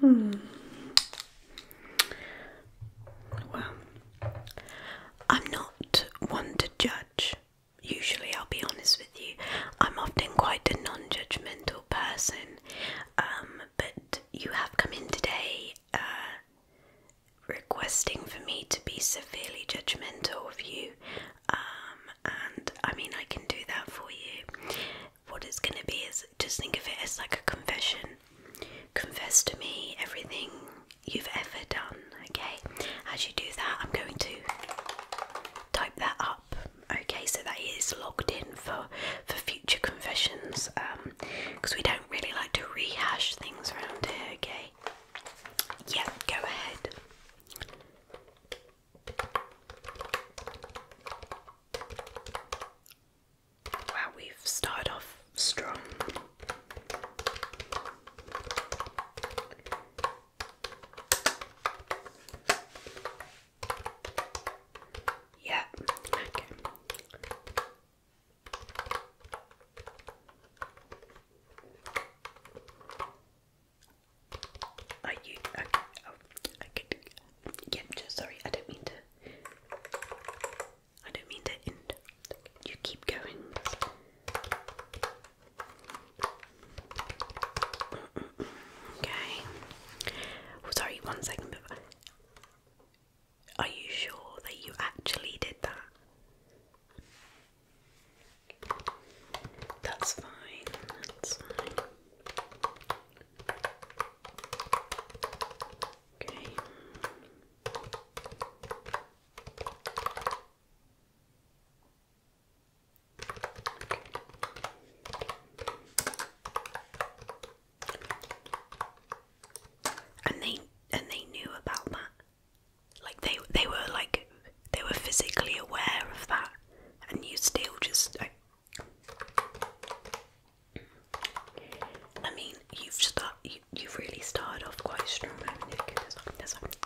Hmm. Well, I'm not one to judge. Usually, I'll be honest with you, I'm often quite a non judgmental person. Um, but you have come in today uh, requesting for me to be severely judgmental of you. Um, and I mean, I can do that for you. What it's going to be is just think of it as like a confession. Confess to me everything you've ever done. Okay, as you do that, I'm going to type that up. Okay, so that is logged in for for future confessions, um, because we don't really like to rehash things around here. Okay, yeah, go ahead. Wow, we've started off strong. Yeah, okay. Are you okay? Oh, I could. Yeah, just sorry, I don't mean to. I don't mean to end. You keep going. Okay. sorry, one second. Are you sure that you actually did that? That's fine. That's fine. Okay. And they and they knew about that. Like they they were like they were physically aware of that, and you still just. I, mean, you've start, you you, have really started off quite strong.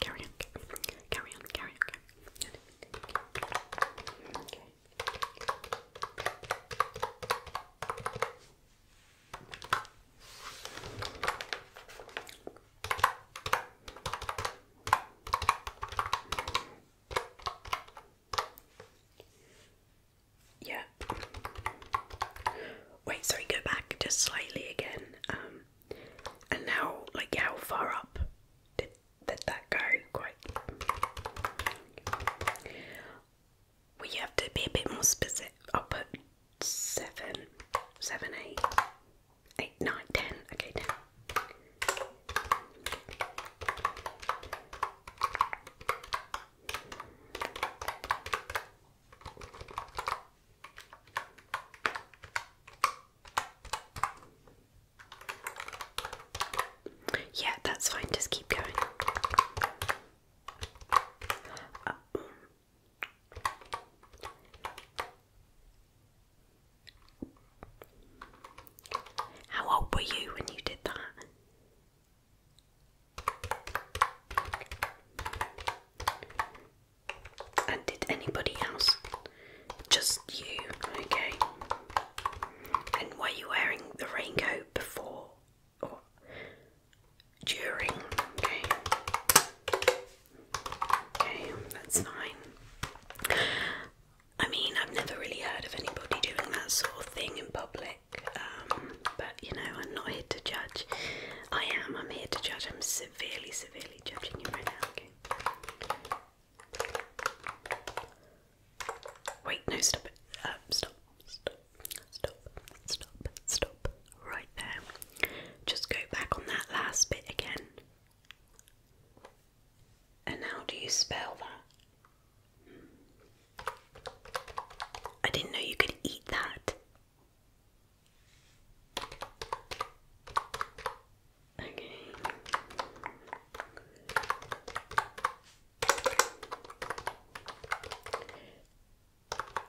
carry on, carry on, carry on, Yeah, Wait, sorry, go back just slightly again. Um, and now, like, how far up did, that go? Quite. We have to be a bit more specific. I'll put seven, seven, eight, eight, nine, ten. Okay, ten. Yeah, that's fine, just keep going. how old were you when you did that? And did anybody else? Just you, okay. And were you wearing the raincoat before or during? Okay. Okay, that's fine. I mean, I've never really heard of anybody doing that sort of thing in public. Um, but you know, I'm not here to judge. I am, I'm here to judge. I'm severely, severely judging you right now, okay? Wait, no, stop it. stop, stop, stop, stop, stop. Right there. Just go back on that last bit again. And how do you spell that? I didn't know you could eat that. Okay.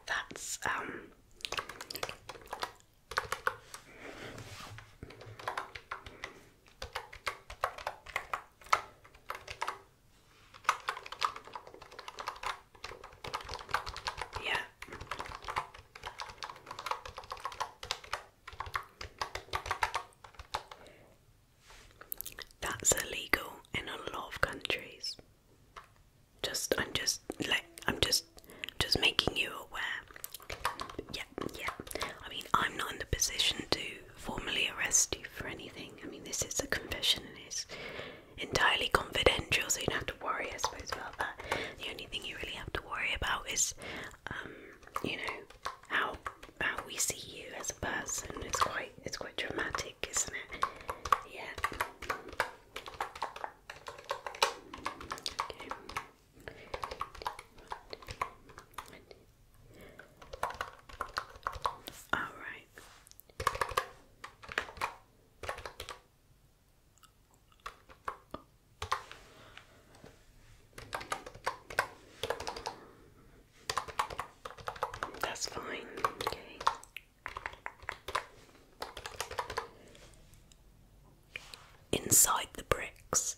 That's um yeah. That's illegal in a lot of countries. Just I'm just like I'm just just making you aware. Yeah, yeah. I mean I'm not in the position to formally arrest you for anything. I mean this is a confession it's entirely confidential, so you don't have to worry, I suppose, about that. The only thing you really have to worry about is, um, you know, how how we see you as a person. It's quite it's quite dramatic, isn't it? Yeah. Okay. All right. That's fine, Inside the bricks.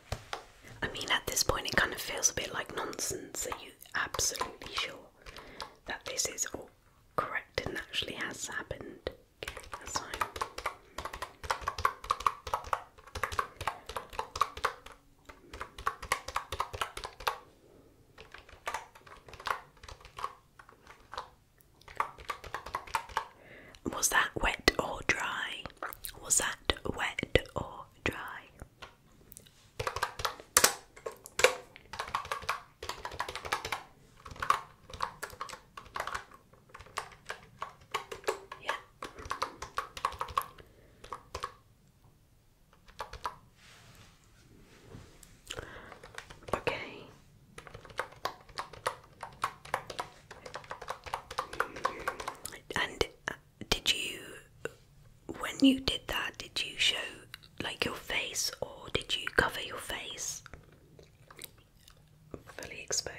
I mean, at this point, it kind of feels a bit like nonsense. Are you absolutely sure that this is all correct and actually has happened? Was that wet or dry? Was that wet or dry? Yeah. Okay. And did you when you did that did you show like your face or did you cover your face fully exposed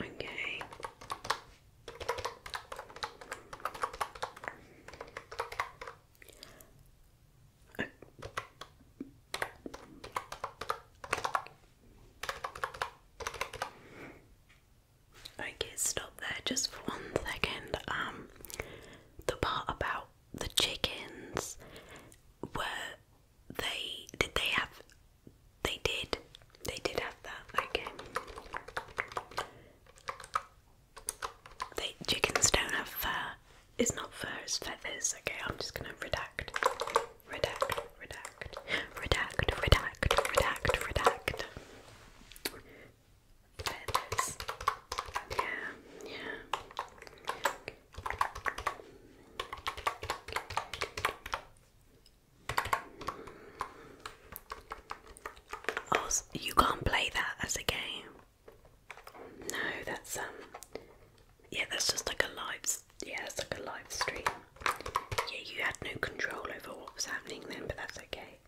okay Okay, stop there just for one second. Um, the part about the chickens were they did they have they did they did have that okay they chickens don't have fur it's not fur it's feathers okay i'm just gonna redact redact, redact, redact, redact, redact, redact. Yeah, yeah. Oh, you can't play that as a game. No, that's um yeah, that's just like a live. Yeah, that's like a live stream. Yeah, you had no control over what was happening then, but that's okay.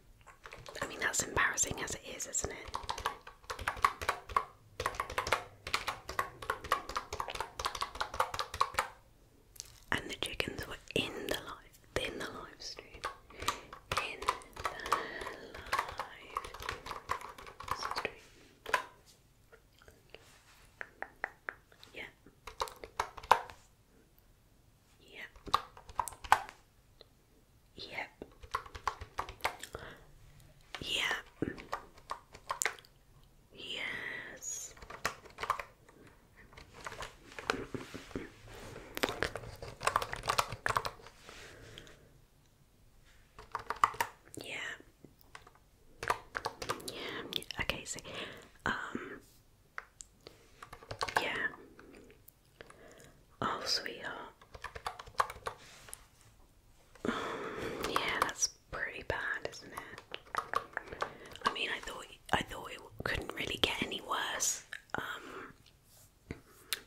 I mean, that's embarrassing as it is, isn't it? And the chickens were in the live, in the live stream, in the live stream. Yeah. Yep. Yep. Yep. Yes. Yeah. Yeah. Okay. So, um, yeah. Oh, sweetheart. Um, yeah, that's pretty bad, isn't it? I mean, I thought I thought it couldn't really get any worse. Um,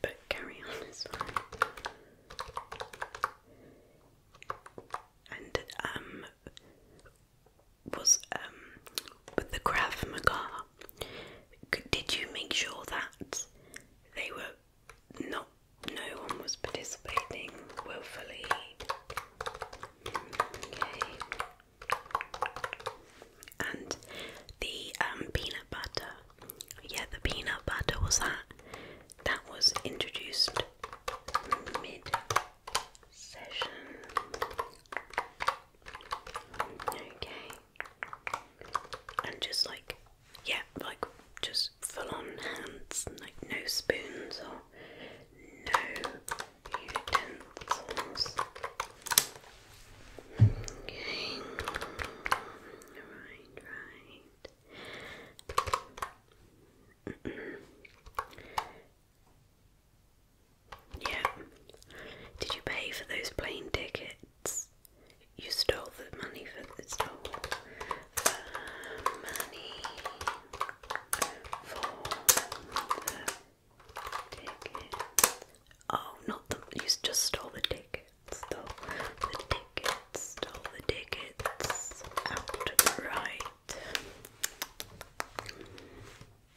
but carry on, And um, was um, with the Krav Maga. Did you make sure that they were not? No one was participating willfully. Okay. And the um, peanut butter. Yeah, the peanut butter was that. That was introduced mid Okay. And just like, yeah, like just full on hands, like no spoons or no utensils. Okay. Right, right. Yeah. Did you pay for those plane tickets? You stole the money for the stole money for the tickets. Oh, not the you just stole the tickets. Stole the tickets. Stole the tickets. Out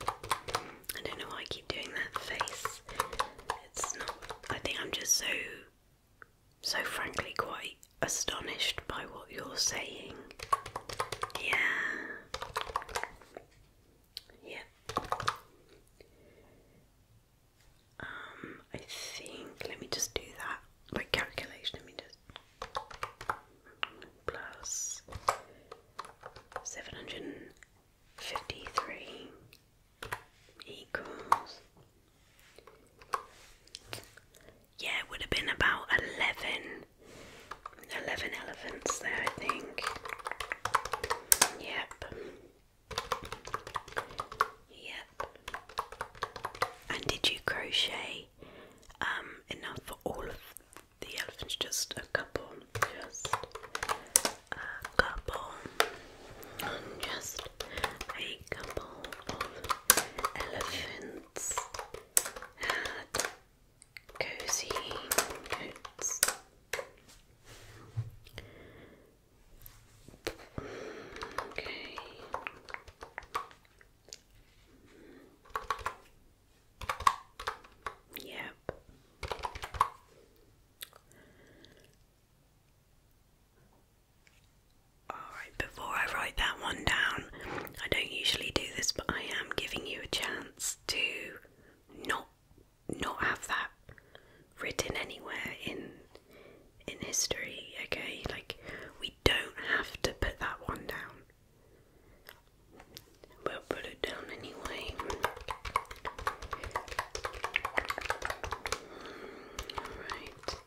I don't know why I keep doing that face. It's not. I think I'm just so, so frankly quite astonished by what you're saying. Yeah. Yeah. Um, I think. Let me just do that My calculation. Let me just plus 753 equals. Yeah, it would have been about 11, 11 elephants there, I think. Yep. Yep. And did you crochet um, enough for all of the elephants, just a couple, just a couple, just a couple of elephants had cozy coats. Okay. Yep. Alright, before I write that one down, I don't usually do this, but I am giving you a chance to not not have that written anywhere in in history, okay? Like we don't have to put that one down. But put it down anyway. Alright.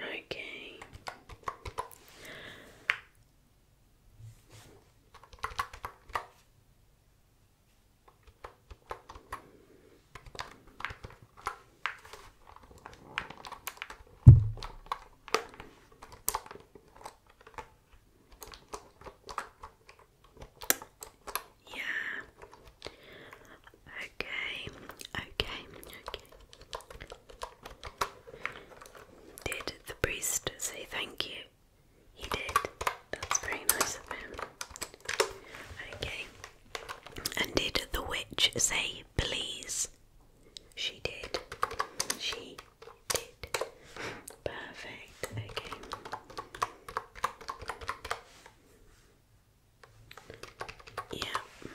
Okay. Yeah. Okay. Okay. Did the priest say thank you? He did. That's very nice of him. Okay. And did the witch say please? She did. She did. Perfect. Okay. Yeah.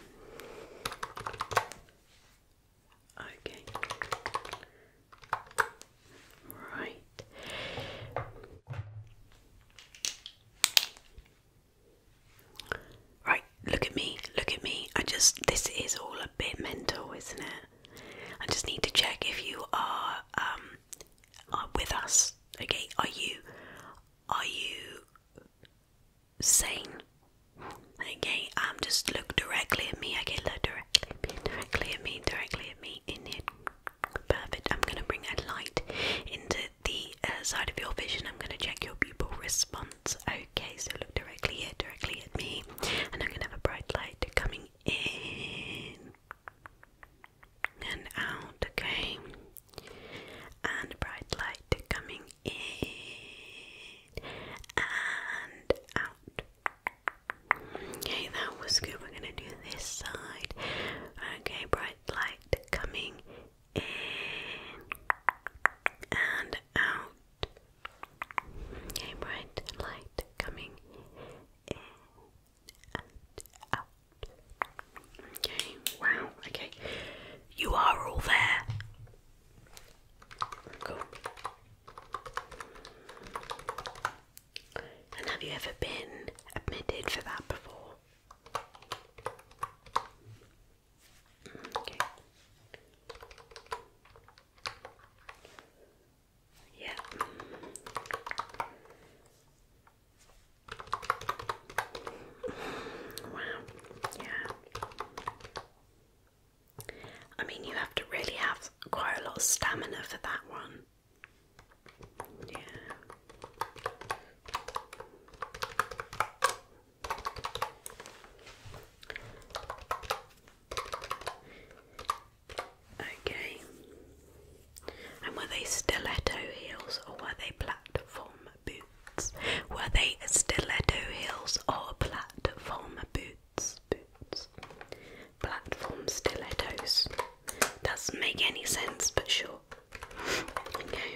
Okay. Right. Right, look at me, look at me. I just, this is all a bit mental, isn't it? I just need to check if you are, um, with us. Okay, are you, are you sane? Okay, I'm um, just look directly at me. Okay, look directly directly at me, directly at me, in it. Perfect. I'm going to bring a light into the uh, side of your vision. I'm going to check your pupil response. Okay, so look directly here, directly at me, and I'm going to have a bright light coming in and out. Okay, and a bright light coming in and out. Okay, that was good. We're going to do this side. Okay, bright light coming in and out. Okay, bright light coming in and out. Okay, wow, okay. You are all there. Cool. And have you ever been admitted for that before? Yeah. Wow. Yeah. I mean, you have to really have quite a lot of stamina for that one. Yeah. Okay. And were they stiletto heels or were they platform boots? Were they stiletto heels or platform boots? Boots. Platform stilettos. Doesn't make any sense, but sure. Okay.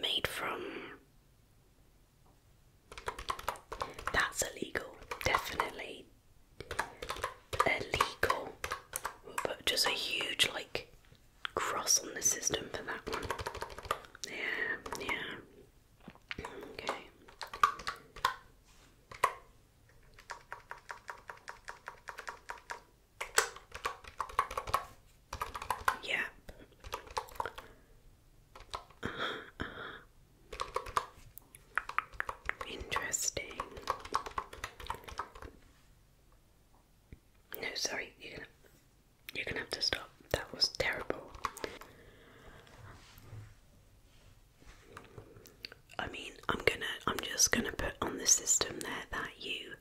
Made from. That's illegal. Definitely illegal. we just a huge, like, cross on the system for that one. Yeah, yeah. Okay. Yeah. Interesting. No, sorry, you're gonna you're gonna have to stop. That was terrible. I mean, I'm gonna, I'm just gonna put on the system there that you,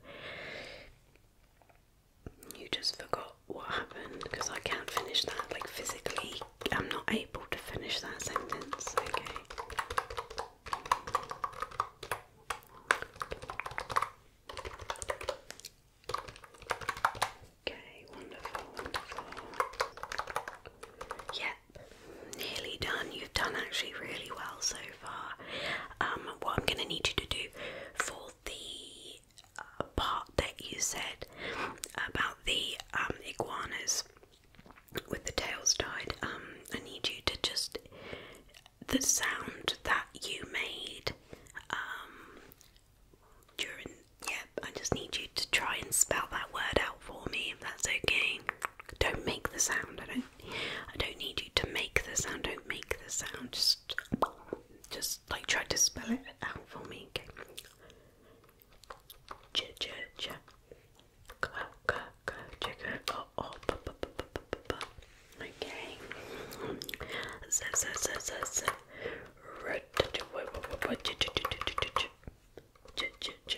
you just forgot what happened because I can't finish that. Like physically, I'm not able to finish that sentence. Okay. Okay, wonderful, Yeah, nearly done. You've done actually really well so far. Um, what I'm going to need you to do for the uh, part that you said about the um, iguanas with the tails tied, um, I need you to just the sound that you made during. Yep, I just need you to try and spell that word out for me if that's okay. Don't make the sound, I don't need you to make the sound. Don't make the sound. Just, just like try to spell it out for me. Ch ch ch. Ka ka ka. Oh oh. Ba ba ba ba ba ba. Okay. Z z z z z. Red. Ch ch ch ch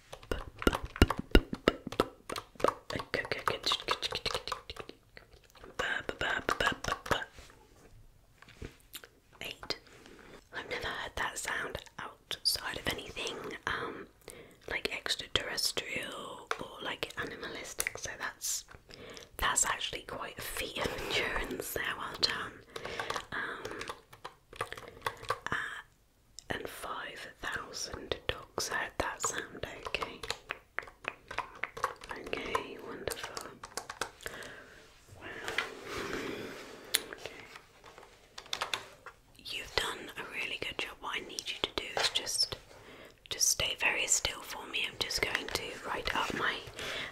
Eight. I've never heard that sound outside of anything, um, like extraterrestrial or like animalistic. So that's that's actually quite a feat of endurance there. Well done. Um, uh, and five thousand dogs. I heard that sound okay. Okay, wonderful. Wow. You've done a really good job. What I need you to do is just just stay very still for me. I'm just going to write up my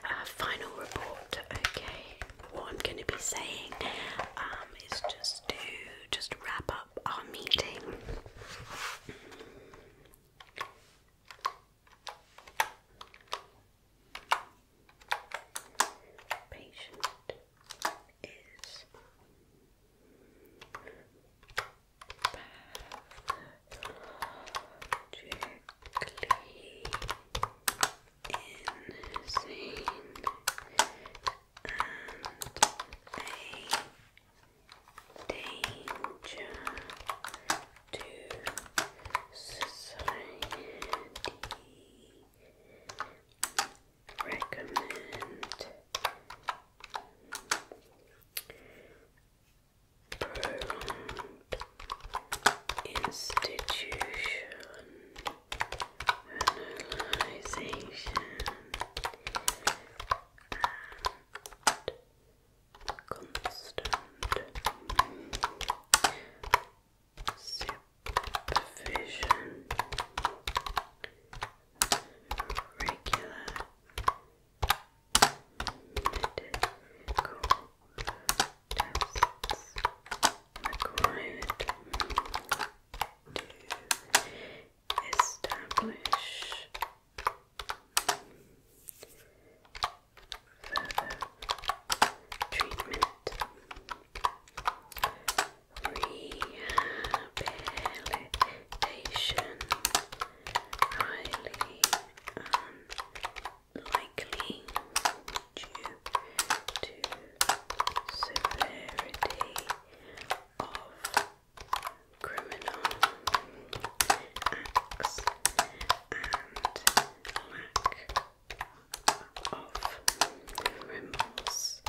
uh, final report. Okay. What I'm going to be saying um, is just do just wrap up our meeting. Patient is pathologically insane and a danger to society. Recommend prolonged institution analyzation and constant supervision regular medical required to establish further treatment. Rehabilitation highly unlikely due to severity of criminal acts and lack of remorse.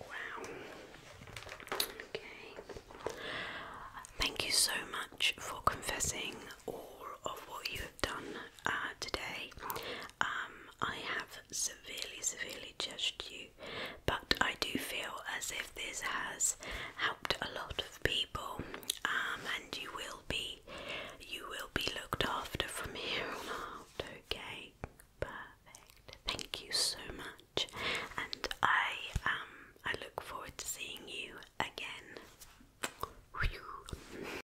Wow. Okay. Thank you so much for confessing all of what you have done uh, today. Um, I have severely, severely judged you, but I do feel as if this has helped a lot of people, um, and you will be, you will be looked after from here on out. Okay, perfect. Thank you so much, and I um, I look forward to seeing you again.